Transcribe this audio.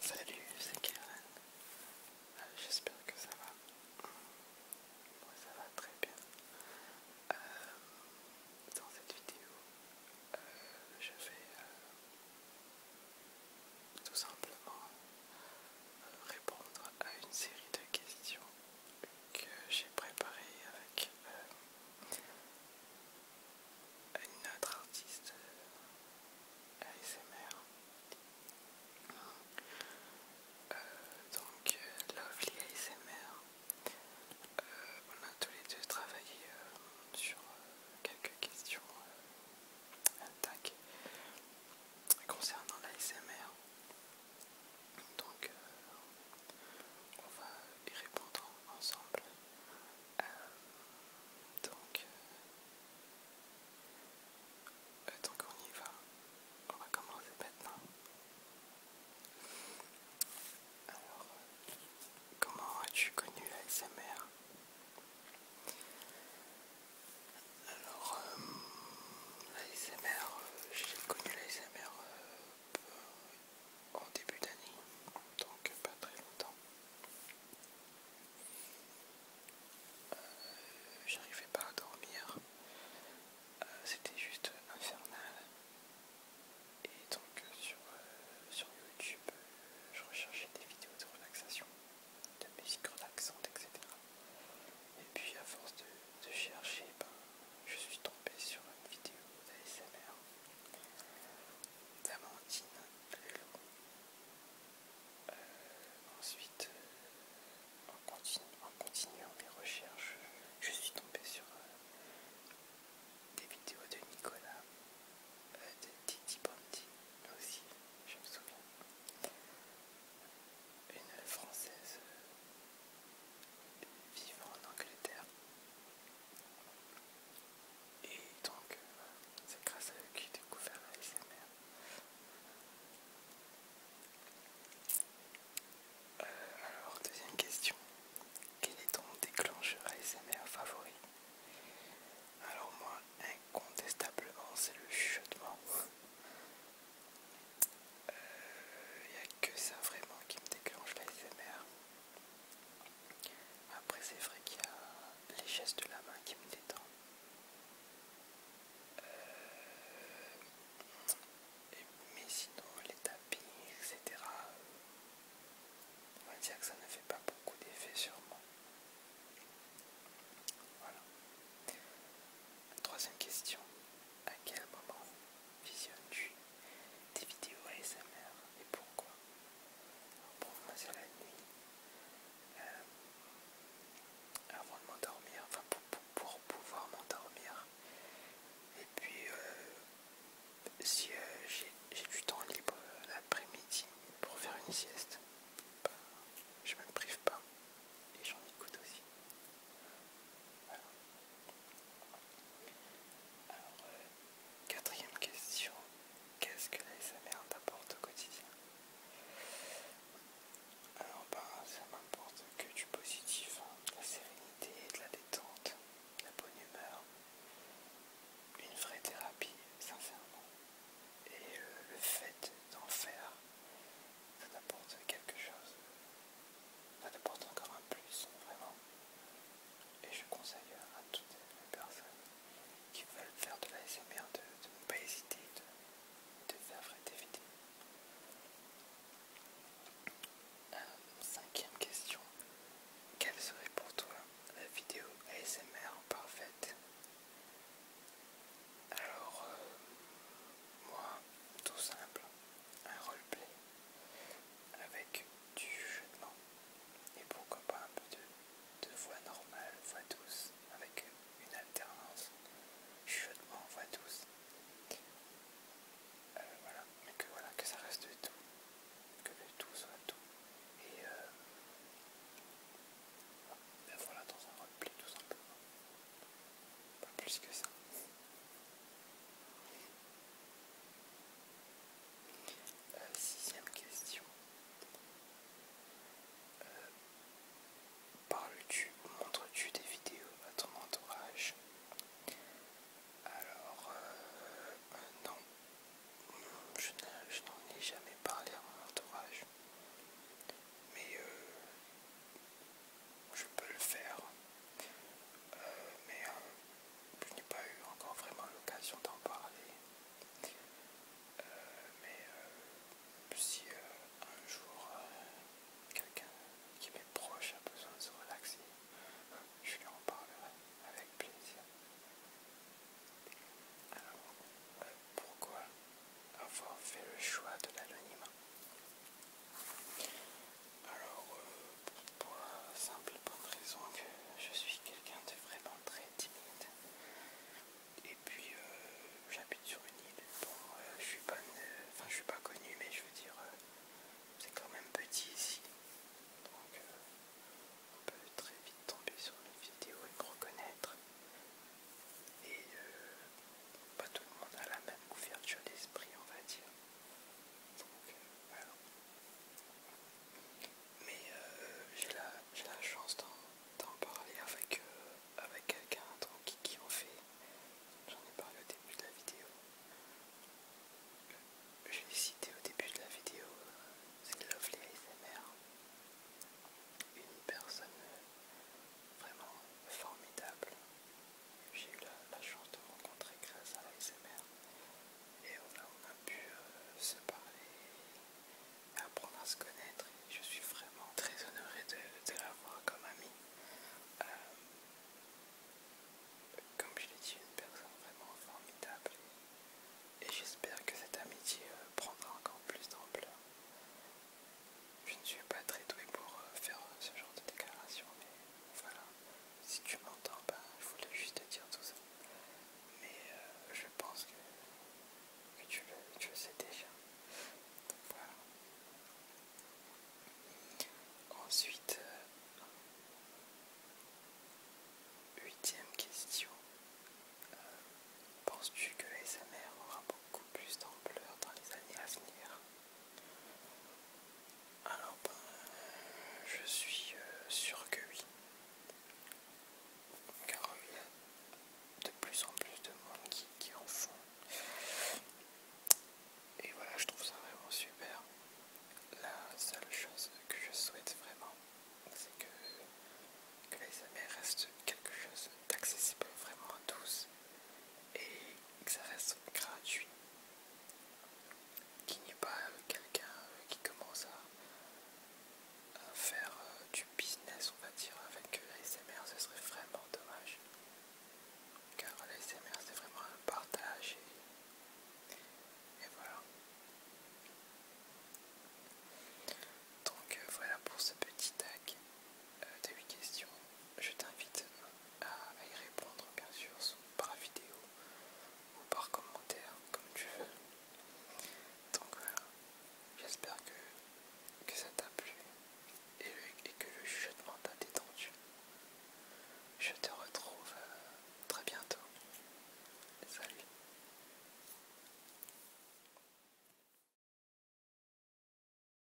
Salut, c'est Karen. Euh, j'espère que ça va. Moi, ça va très bien. Euh, dans cette vidéo, euh, je vais tout simplement répondre à une série de questions que j'ai préparées avec une autre artiste ASMR. Euh, donc euh, Lovely ASMR. Euh, on a tous les deux travaillé sur quelques questions concernant l'ASMR. Donc on va y répondre ensemble. Euh, donc, on y va, on va commencer maintenant. Alors, comment as-tu connu l'ASMR Alors, euh, l'ASMR, euh, j'ai connu la SMR en début d'année, donc pas très longtemps. Euh, j'arrivais pas à dormir. Euh, c'était juste infernal. Et donc euh, sur, sur YouTube, je recherchais des vidéos de relaxation, de musique relaxante, etc. Et puis à force de, de chercher, ben, je suis tombé sur une vidéo d'ASMR d'Amandine euh, ensuite, euh, en, continuant mes recherches, je suis tombé sur euh, des vidéos de Nicolas, de Titi Bondi aussi, je me souviens. Une Française vivant en Angleterre et donc, euh, c'est grâce à eux que j'ai découvert la euh, alors, deuxième question. Quel est ton déclencheur ASMR favori Alors moi, incontestablement, c'est le chuchotement. Il euh, n'y a que ça vraiment qui me déclenche l'ASMR. Après, c'est vrai qu'il y a les gestes de la main qui me détendent. Euh, mais sinon, les tapis, etc. On va dire que ça ne fait pas beaucoup d'effet sur moi. Voilà. Troisième question. À quel moment visionnes-tu des vidéos ASMR et pourquoi pour commencer la nuit. Euh, avant de m'endormir, enfin pour, pouvoir m'endormir. Et puis euh, si euh, j'ai du temps libre l'après-midi pour faire une sieste, je bah, je me prive pas et j'en écoute aussi. Quatrième question, qu'est-ce que SMR t'apporte au quotidien Alors ben, ça m'apporte que du positif, hein. de la sérénité, de la détente, de la bonne humeur, une vraie thérapie sincèrement. Et le fait d'en faire, ça t'apporte quelque chose, ça t'apporte encore un plus, vraiment. Et je conseille à toutes les personnes qui veulent faire de l'ASMR de, de ne pas hésiter de, faire des vidéos. Euh, cinquième question. Quelle serait pour toi la vidéo ASMR parfaite Alors, euh, moi, tout simple, un roleplay avec du chutement et pourquoi pas un peu de, voix normale, voix douce, avec une alternance chutement, voix douce. Euh, voilà, mais que voilà, que ça reste du tout, que le tout soit tout. Et euh, voilà, dans un repli tout simplement. Pas plus que ça. Euh, sixième question. Euh, parles-tu ou montres-tu des vidéos à ton entourage Alors, euh, non. Hmm, je n'en ai jamais parlé à mon entourage. Mais je peux le faire euh, mais euh, je n'ai pas eu encore vraiment l'occasion d'en parler. Euh, mais si un jour quelqu'un qui m'est proche a besoin de se relaxer, je lui en parlerai avec plaisir. Alors, pourquoi avoir fait le choix de l'anonymat alors, euh, pour simple bonne raison que je suis quelqu'un de vraiment très timide. Et puis, euh, j'habite sur une île. Bon, euh, je suis pas, je suis pas connu, mais je veux dire, c'est quand même petit ici. Donc, on peut très vite tomber sur une vidéo et me reconnaître. Et pas tout le monde a la même ouverture d'esprit, on va dire. Ben, mais euh, j'ai la, chance d'en parler avec, euh, avec quelqu'un qui, qui en fait. J'en ai parlé au début de la vidéo. Je l'ai cité au début de la vidéo, euh, c'est Lovely ASMR. Une personne vraiment formidable j'ai eu la, chance de rencontrer grâce à l'ASMR et on a, on a pu euh, se parler apprendre à se connaître et je suis vraiment très honoré de, l'avoir comme amie. Euh, comme je l'ai dit, une personne vraiment formidable et, j'espère que cette amitié euh, prendra encore plus d'ampleur. Je ne suis pas très doué pour faire ce genre de déclaration, voilà. Si tu m'entends, pas, je voulais juste te dire tout ça. Mais euh, je pense que, tu, le, sais déjà. voilà. Ensuite, euh, huitième question. Euh, penses-tu que les SMR aura beaucoup plus d'ampleur dans les années à venir alors ben, je suis euh, sûr que oui. Car euh, il y a de plus en plus de monde qui, en font. Et voilà, je trouve ça vraiment super. La seule chose que je souhaite vraiment, c'est que, que l'ASMR reste quelque chose d'accessible vraiment à tous et que ça reste gratuit. Qu'il n'y ait pas euh, quelqu'un euh, qui commence à, faire euh, du business, on va dire, avec l'ASMR, ce serait vraiment dommage. Car l'ASMR, c'est vraiment un partage et, et voilà. Donc voilà pour ce petit tag de euh, 8 questions. Je t'invite à y répondre, bien sûr, par vidéo ou par commentaire, comme tu veux. Donc voilà, j'espère que, ça t'a plu et, le, et que le chuchotement t'a détendu. Je te retrouve euh, très bientôt. Salut